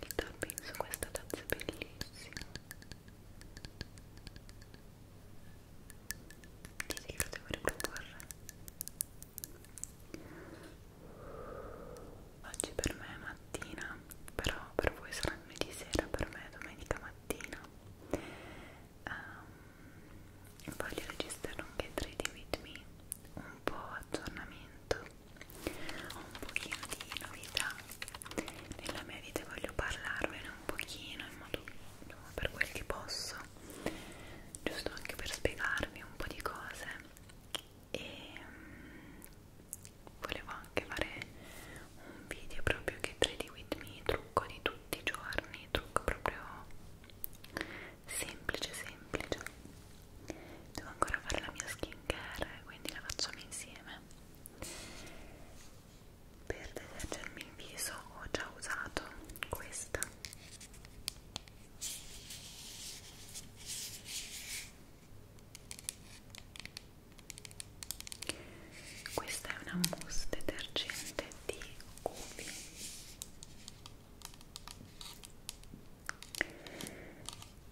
il tapping su questa tazza è bellissimo sì, sì, lo devo riproporre oggi per me è mattina però per voi sarà lunedì sera per me è domenica mattina um, voglio registrare anche Trade With Me un po' aggiornamento ho un pochino di novità nella mia vita e voglio parlarvene un pochino in modo per quel che posso giusto anche per spiegarvi un po' di cose e mm, volevo anche fare un video proprio che trade with me trucco di tutti i giorni trucco proprio semplice semplice devo ancora fare la mia skincare quindi la facciamo insieme per detergermi il viso ho già usato questa questa è una mousse detergente di Gubi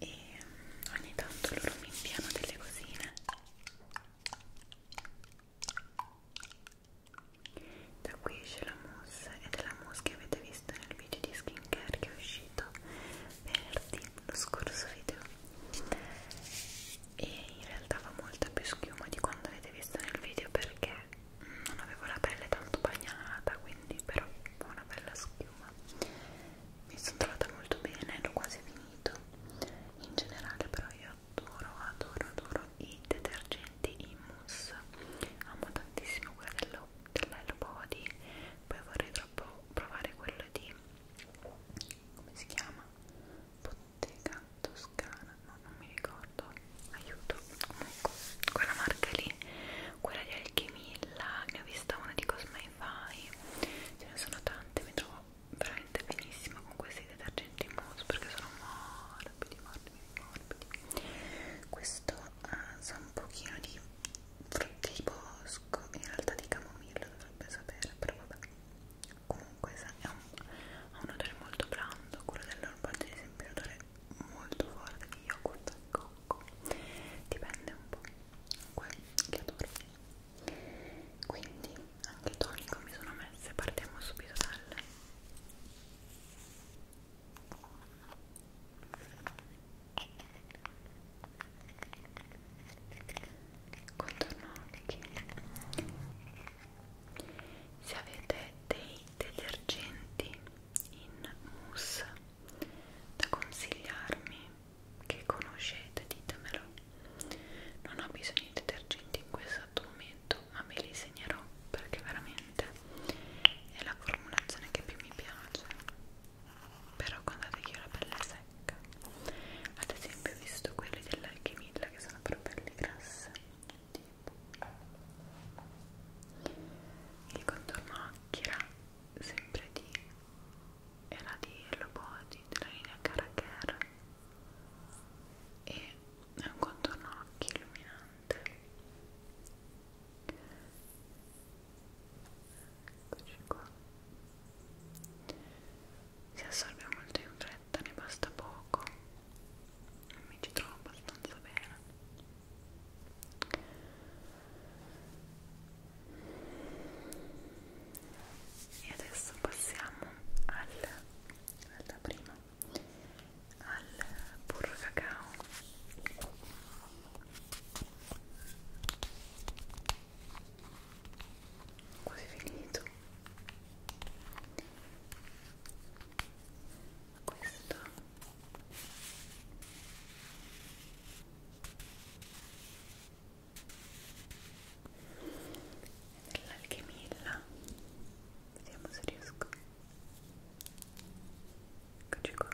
e mm, ogni tanto loro mi inviano delle cosine da qui c'è la mousse ed è la mousse che avete visto nel video di skincare che è uscito venerdì lo scorso video e in realtà fa molta più schiuma di quando avete visto nel video perché mm, non avevo la pelle tanto bagnata quindi però fa una bella schiuma mi sono trovata molto bene, l'ho quasi finito in generale però io adoro, adoro, adoro i detergenti in mousse amo tantissimo quello dello, dell'Hello Body poi vorrei troppo provare quello di come si chiama? Bottega Toscana no, non mi ricordo, aiuto comunque, quella marca lì quella di Alchemilla, ne ho vista una di Cosme wifi ce ne sono tante mi trovo veramente benissimo con questi detergenti in mousse perché sono morbidi morbidi morbidi questo ha eh, uh, un pochino di frutti di bosco in realtà di camomilla dovrebbe sapere però vabbè comunque ha un, un odore molto blando quello dell'orbaggio ad esempio è un odore molto forte di yogurt al cocco dipende un po' comunque che adoro quindi anche tonico mi sono messe partiamo subito dalle contorno occhi se avete dei detergenti in mousse da consigliarmi che conoscete ditemelo non ho bisogno di detergenti in questo momento ma me li segnerò perché veramente è la formulazione che più mi piace però guardate che ho la pelle secca ad esempio ho visto quelli dell'alchimilla che sono per pelli grasse tipo il contorno occhi era sempre di era di Hello Body della linea Caracare e è un contorno occhi illuminante eccoci qua si assorbe molto in fretta, ne basta poco mi ci trovo abbastanza bene e adesso passiamo al, alla prima al burro cacao quasi finito questo nell'alchimilla vediamo se riesco eccoci qua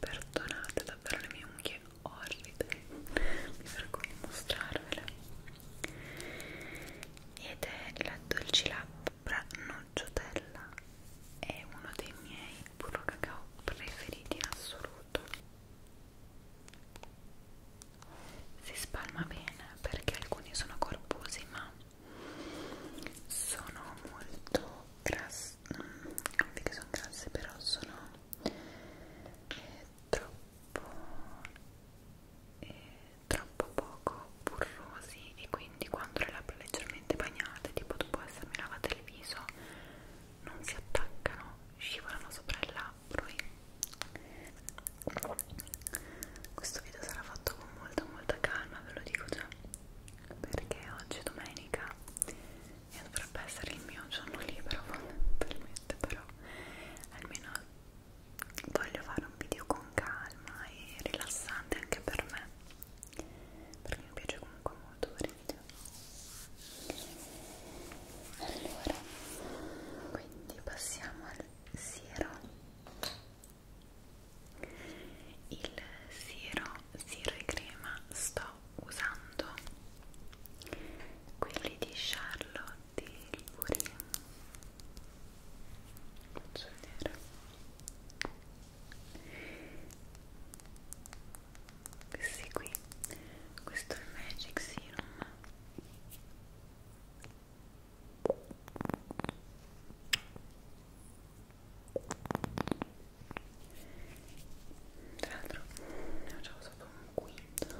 perdonate davvero le mie unghie orride mi vergogno a mostrarvele ed è la dolcilabbra nocciotella è uno dei miei burro cacao preferiti in assoluto si spalma bene perché alcuni sono corposi ma sono molto grassi non mm, che sono grassi però sono eh, troppo eh, troppo poco burrosi e quindi quando le labbra leggermente bagnate tipo dopo essermi lavate il viso non si attaccano, scivolano sopra il labbro e questo video sarà fatto con molta molta calma, ve lo dico già perché oggi è domenica e dovrebbe essere il mio giorno libero fondamentalmente però almeno voglio fare un video con calma e rilassante anche per me perché mi piace comunque odore allora quindi passiamo al siero il siero siero e crema sto usando quelli di Charlotte Tilbury faccio vedere questi qui questo è il magic serum tra l'altro ne ho già usato un quinto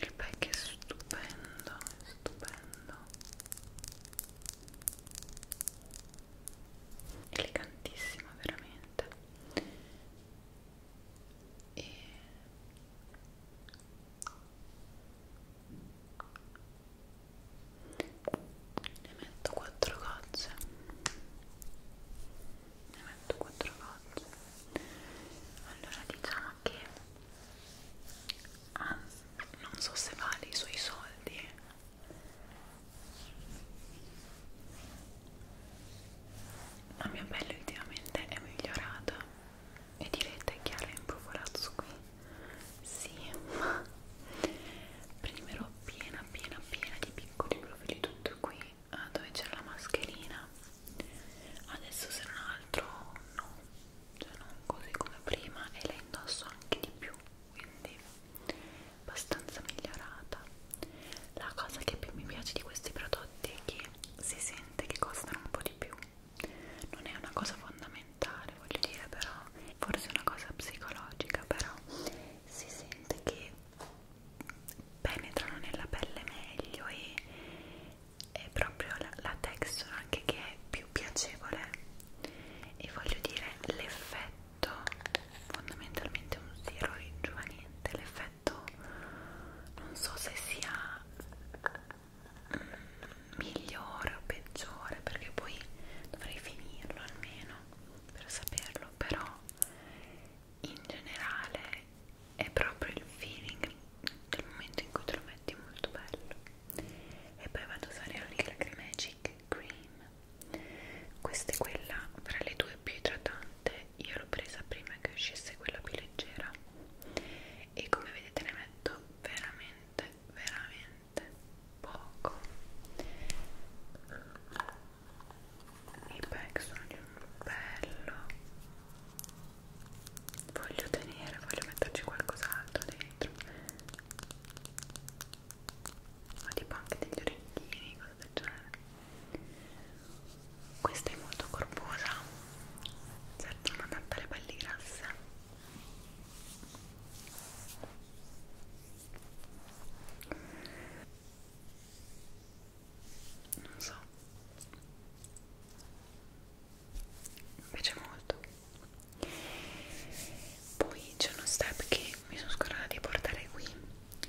il pack è stupendo è stupendo elegantissimo veramente e ne metto quattro gocce ne metto quattro gocce allora diciamo che ah, non so se vale i suoi soldi la mia pelle ultimamente è migliorata e direte che ha l'improvolazzo qui? Sì, ma prenderò piena piena piena di piccoli profili tutto qui eh, dove c'era la mascherina adesso se non altro no, cioè non così come prima e la indosso anche di più quindi abbastanza migliorata la cosa che più mi piace di questi prodotti è che si sente che costano un po' di più non è una cosa fondamentale voglio dire però forse è una cosa psicologica però si sente che penetrano nella pelle meglio e è proprio la, la texture anche che è più piacevole e voglio dire l'effetto effetto fondamentalmente un zero rigiovanente l'effetto non so se sia migliore o peggiore perché poi dovrei finirlo almeno per saperlo però in generale è proprio il feeling del momento in cui te lo metti molto bello e poi vado a usare la Lilac Magic Cream questa è quella fra le due più idratante io l'ho presa prima che uscisse quella più leggera e come vedete ne metto veramente veramente poco i pack sono di un bello voglio tenere voglio metterci qualcos'altro dentro ma tipo anche degli orecchini cosa del genere questa è molto corposa certo non adatta alle pelli grasse non so mi piace molto poi c'è uno step che mi sono scordata di portare qui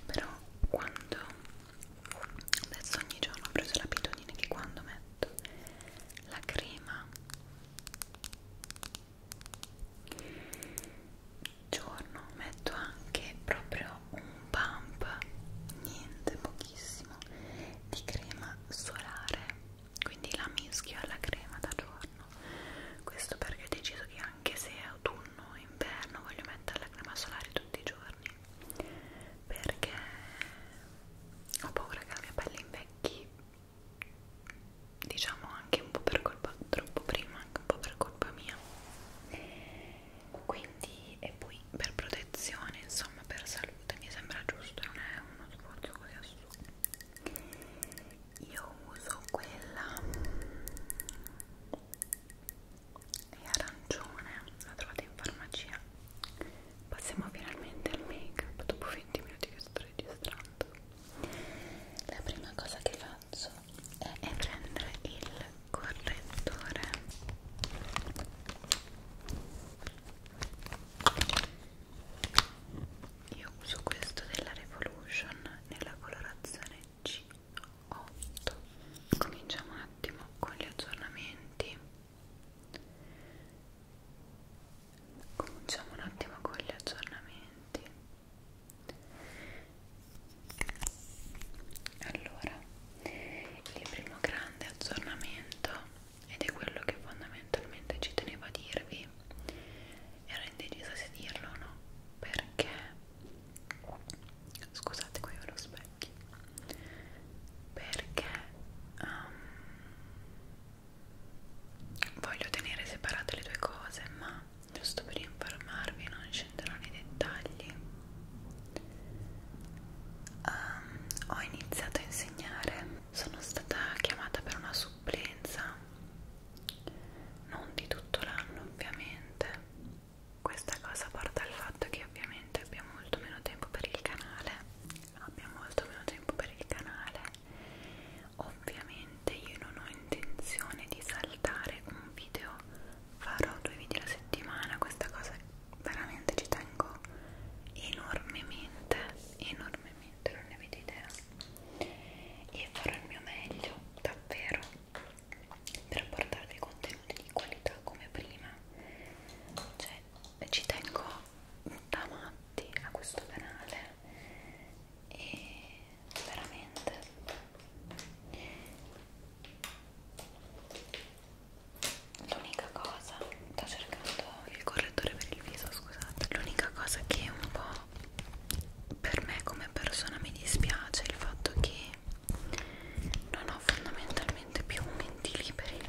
però quando adesso ogni giorno ho preso l'abitudine che quando metto la crema giorno metto anche proprio un pump niente pochissimo di crema solare quindi la mischio alla crema da giorno questo perché ho deciso che anche anche se è autunno o inverno voglio mettere la crema solare tutti i giorni perché ho paura che la mia pelle invecchi diciamo anche un po' per colpa troppo prima anche un po' per colpa mia quindi e poi per protezione insomma per salute mi sembra giusto non è uno sforzo così assurdo io uso quella è arancione, la trovate in farmacia. Passiamo finalmente al make up dopo 20 minuti che sto registrando. La prima cosa che faccio è, è prendere il correttore io uso questo della Revolution nella colorazione 10, 8. Cominciamo un attimo con gli aggiornamenti. Cominciamo un attimo con gli aggiornamenti. Allora, il primo grande aggiornamento, ed è quello che fondamentalmente ci tenevo a dirvi, ero indecisa se dirlo o no, perché scusate qui ve lo specchio perché um, voglio tenere separate le due cose ma giusto per informarvi non scenderò nei dettagli um, ho iniziato a insegnare sono stata chiamata per una supplenza non di tutto l'anno ovviamente questa cosa porta al fatto che ovviamente abbiamo molto meno tempo per il canale, abbiamo molto meno tempo per il canale, ovviamente io non ho intenzione di saltare un video, farò due video alla settimana, questa cosa veramente ci tengo enormemente, enormemente, non ne avete idea e farò il mio meglio, davvero per portarvi contenuti di qualità come prima cioè ci tengo da matti a questo canale e veramente l'unica cosa sto cercando il correttore per il viso scusate l'unica cosa che un po' per me come persona mi dispiace il fatto che non ho fondamentalmente più momenti liberi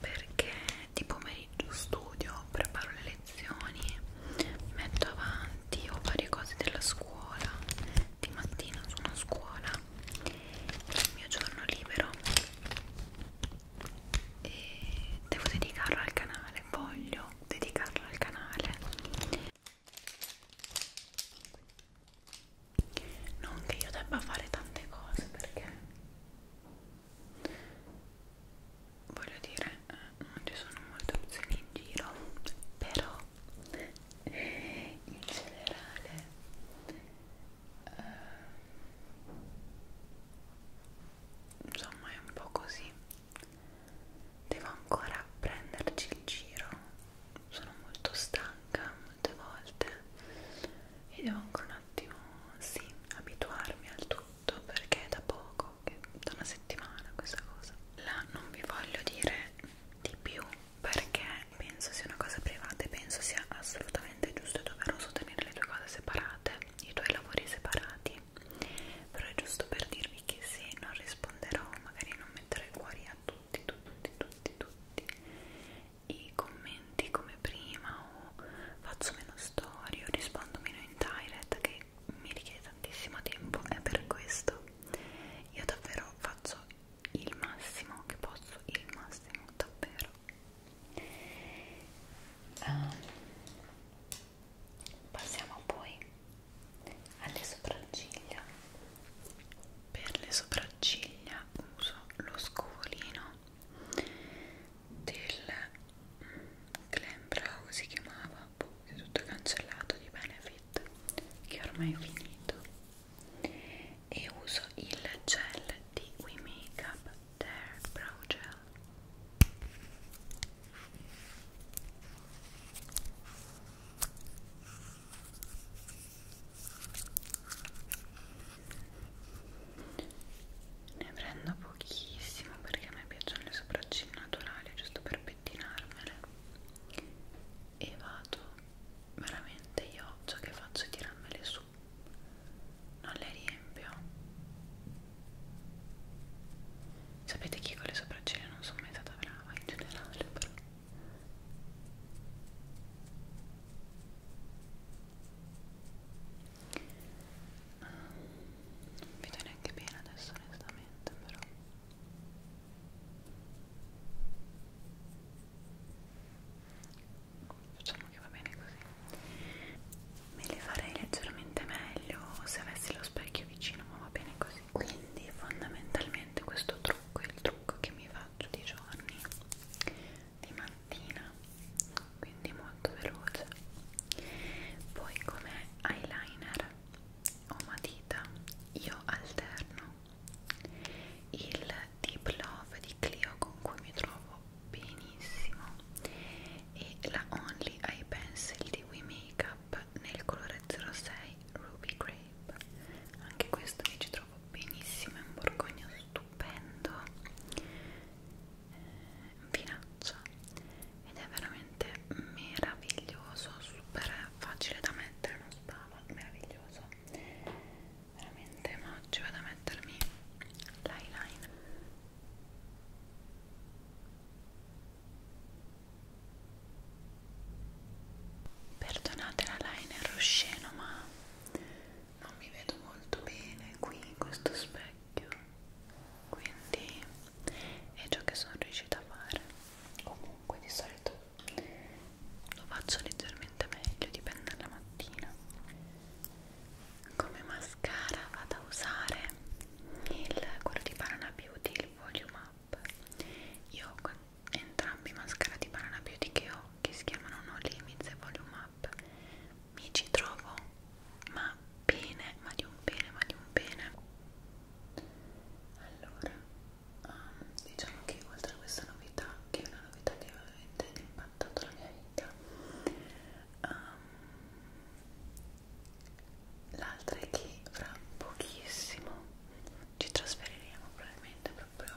perché di pomeriggio studio, preparo le lezioni, mi metto avanti, ho varie cose della scuola, di mattina sono a scuola, il mio giorno libero e devo dedicarlo al canale, voglio dedicarla al canale non che io debba fare tante cose perché voglio dire eh, non ci sono molte opzioni in giro però in generale eh, insomma è un po' così devo ancora prenderci il giro sono molto stanca molte volte e devo ancora un attimo sì abituarmi al tutto perché è da poco che da una settimana questa cosa la non vi voglio dire di più perché penso sia una cosa privata e penso sia assolutamente giusto e doveroso tenere le tue cose separate i tuoi lavori separati però è giusto per dirvi che se non risponderò magari non metterò i cuori a tutti tutti tutti tutti i commenti come prima o faccio meno storie o rispondo meno in direct che mi richiede tantissimo tempo è per questo io davvero faccio il massimo che posso il massimo davvero um, passiamo poi alle sopracciglia per le sopracciglia uso lo scovolino del Glam Brow si chiamava è tutto cancellato di Benefit che ormai è finito e uso il gel di We Makeup Their Brow Gel ne prendo pochissimo perché a me piacciono le sopracciglia naturali, giusto per pettinarmele. E vado veramente io ciò che faccio è tirarmele su, non le riempio Sapete che con le sopracciglia non sono mai stata brava in generale, però. Non vedo neanche bene adesso onestamente, però. Facciamo che va bene così. Me le farei leggermente meglio se avessi lo specchio vicino, ma va bene così quindi fondamentalmente questo trucco è il trucco che mi faccio di giorni di mattina quindi molto veloce poi come eyeliner o matita io alterno il Deep Love di Clio con cui mi trovo benissimo e la Only Eye Pencil di We Makeup Grape nel colore 06 Ruby Grape anche questo mi ci trovo benissimo, è un borgogno stupendo vinaccia eh, ed è veramente meraviglioso super facile da mettere non spava, meraviglioso veramente ma oggi vado a mettermi l'eyeliner Perdonate la linea rosceno, ma non mi vedo molto bene qui in questo specchio, quindi è ciò che sono riuscita a fare. Comunque, di solito lo faccio leggermente meglio, dipende dalla mattina. Come mascara vado a usare il, quello di Banana Beauty, il Volume Up io ho entrambi i mascara di Banana Beauty che ho che si chiamano No Limits e Volume Up mi ci trovo ma bene, ma di un bene, ma di un bene allora um, diciamo che oltre a questa novità che è una novità che ha veramente impattato la mia vita um, l'altra è che fra pochissimo ci trasferiremo probabilmente proprio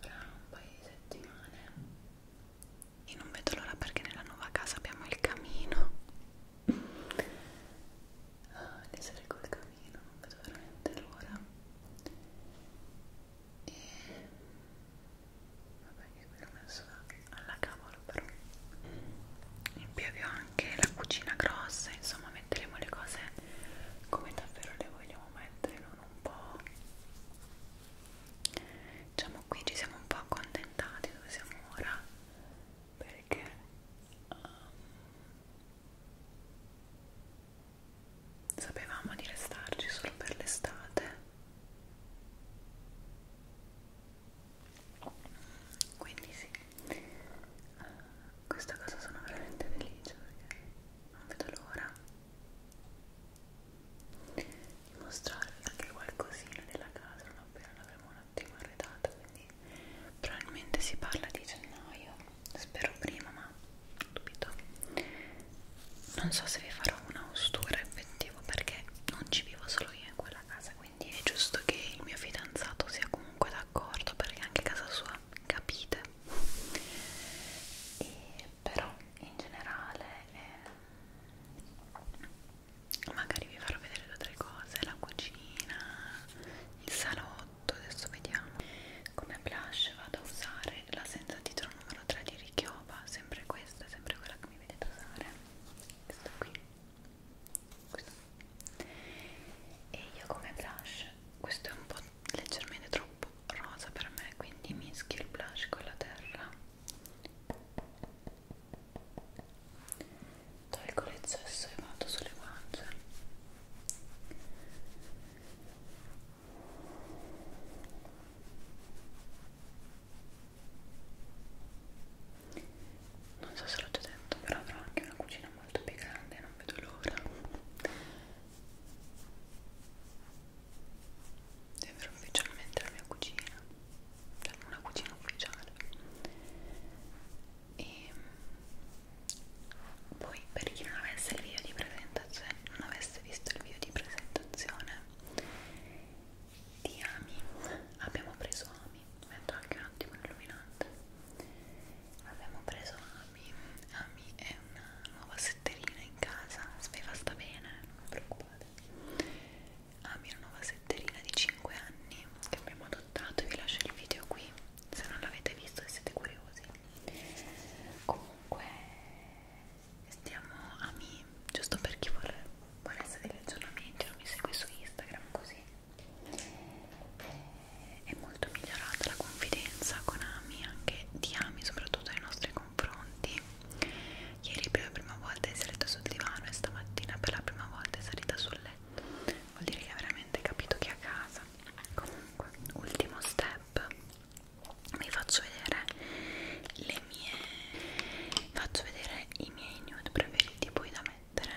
tra un paio di settimane e non vedo l'ora perché nella nuova casa abbiamo il camino ah, di essere col camino non vedo veramente l'ora e vabbè che qui l'ho messo là alla cavolo però in più abbiamo anche la cucina grossa insomma metteremo le cose come davvero le vogliamo mettere non un po' diciamo qui ci siamo un po' accontentati dove siamo ora perché um, sapevamo di restarci solo per l'estate quindi sì uh, questa cosa sono veramente felice perché non vedo l'ora di mostrarvi anche qualcosina della casa non appena l'avremo un attimo arredata quindi probabilmente si parla di gennaio spero prima ma dubito non so se vi farò una ostura effettiva perché non ci vivo solo io in quella casa quindi è giusto che il mio fidanzato sia comunque d'accordo perché anche a casa sua capite e però in generale eh, magari vi farò vedere due o tre cose la cucina il salotto adesso vediamo come blush vado a usare la senza titolo numero 3 di Richioba sempre questa sempre quella che mi vedete usare questa qui questo. e io come blush questo è un po' leggermente troppo rosa per me quindi mischio il blush con la terra tolgo l'eccesso e vado sulle guance non so se l'ho già detto però avrò anche una cucina molto più grande non vedo l'ora di avere ufficialmente la mia cucina cioè una cucina ufficiale e mm, poi per chi non avesse il video di presentazione non avesse visto il video di presentazione di Ami abbiamo preso Ami metto anche un attimo illuminante abbiamo preso Ami Ami è una nuova setterina in casa speva sta bene non vi preoccupate Ami è una nuova setterina di 5 anni che abbiamo adottato vi lascio il video qui se non l'avete visto e siete curiosi comunque stiamo Ami giusto per chi vorrà volesse degli aggiornamenti non mi segui su Instagram così è molto migliorata la confidenza con Ami, anche di Ami, soprattutto nei nostri confronti. Ieri per la prima volta è salita sul divano e stamattina per la prima volta è salita sul letto. Vuol dire che ha veramente capito che è a casa. Comunque, ultimo step, vi faccio vedere le mie. Faccio vedere i miei nude preferiti poi da me mettere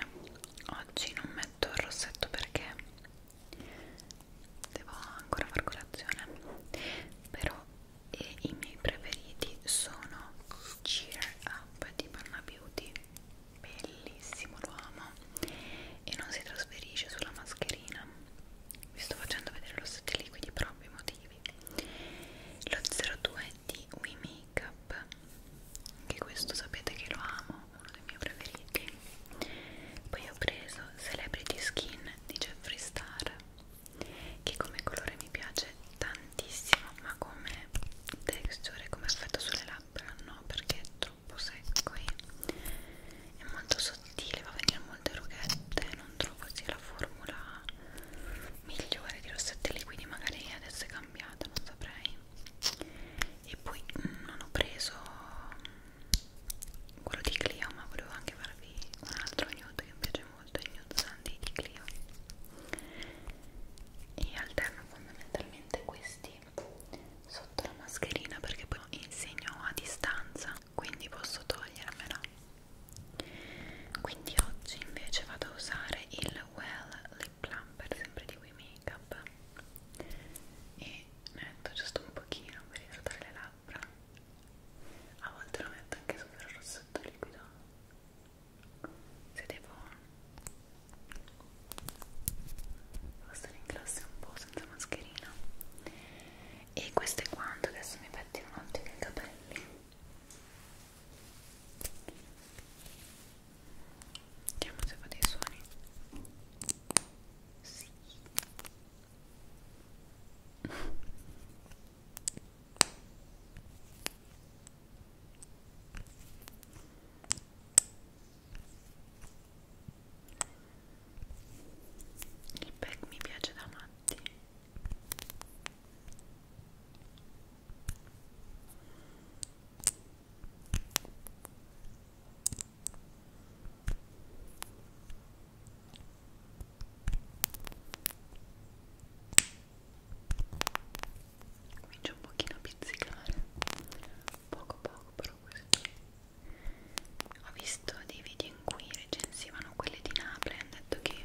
oggi non metto il rossetto perché devo ancora far colazione però e i miei preferiti sono Cheer Up di Panna Beauty bellissimo lo amo e non si trasferisce sulla mascherina vi sto facendo vedere lo stesso liquidi proprio i motivi lo 02 di di We Make Up anche questo sapete che lo amo uno dei miei preferiti poi ho preso Celebrity Skin di Jeffree Star che come colore mi piace tantissimo ma come texture come effetto sulle labbra no perché è troppo secco e è molto sottile va a venire molte rughette non trovo sia la formula migliore di rossetti liquidi magari adesso è cambiata non saprei e poi mm, non ho preso quello di Clio ma volevo anche farvi un altro nude che mi piace molto il nude sandy di Clio e alterno fondamentalmente questi sotto la mascherina perché poi insegno a distanza quindi posso togliermela quindi oggi invece vado a usare il Well il plumper sempre di We Makeup e ne metto giusto un pochino per idratare le labbra a volte lo metto anche sopra il rossetto liquido se devo passare in classe un po' senza mascherina e questo è quanto, adesso mi pettino un attimo i capelli Vediamo se fa dei suoni. Sì. Il pack mi piace da matti comincio un pochino a pizzicare poco poco però questo ho visto dei video in cui recensivano quelle di Napoli hanno detto che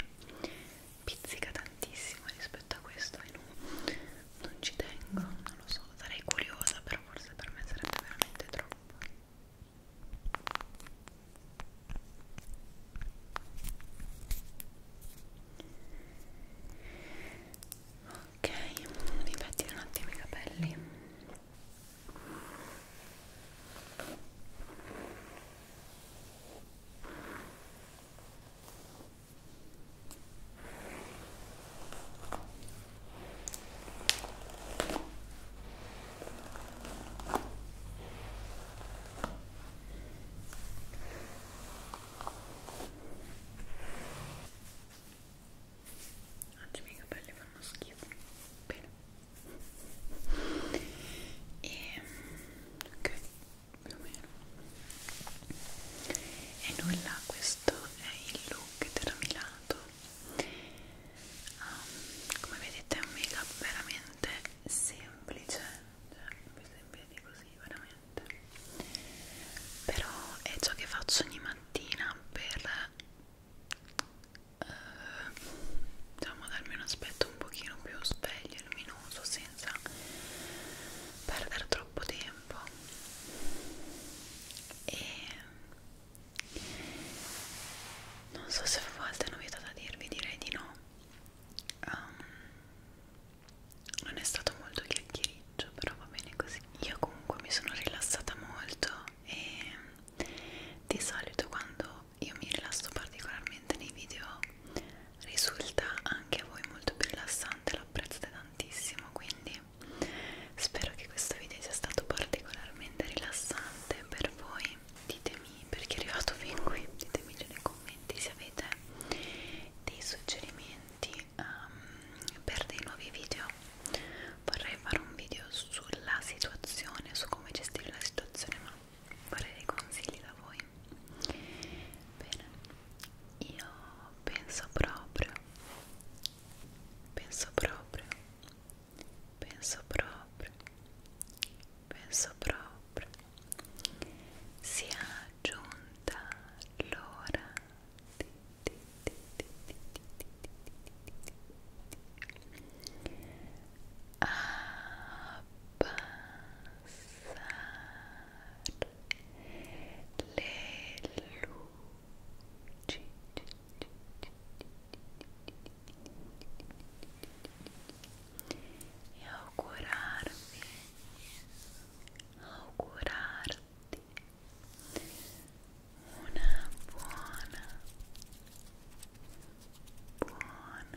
pizzica tantissimo rispetto a questo e non, non ci tengo, non lo so, sarei curiosa però forse per me sarebbe veramente troppo ok, mi pettino un attimo i capelli ok Oggi i miei capelli fanno schifo. Bene. E ehm, ok più o meno e nulla questo è il look tramilato um, ehm, come vedete è un make up veramente semplice cioè mi sembra di così veramente però è ciò che faccio ogni mattina per Uh, diciamo darmi un aspetto un pochino più sveglio medio e luminoso senza perdere troppo tempo e non so se a volte hanno vietato da dirvi direi di no um, non è stato molto chiacchiericcio però va bene così io comunque mi sono rilassata molto e di solito quando io mi rilasso particolarmente nei video risulta anche a voi molto più rilassante, lo apprezzate tantissimo, quindi spero che questo video sia stato particolarmente rilassante per voi. Ditemi perché è arrivato fin qui, ditemi nei commenti se avete dei suggerimenti um, per dei nuovi video. Vorrei fare un video sulla situazione, su come gestire la situazione, ma vorrei dei consigli da voi. Bene, io penso proprio, penso proprio, penso proprio, penso proprio, sia giunta l'ora di, di, di, di, di, di, di, di. Abbassare le luci e augurarvi augurarti una buona buona buona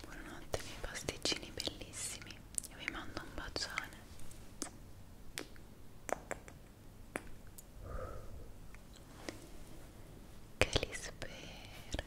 Buonanotte, i miei pasticcini bellissimi. Io vi mando un bacione. Che li spero.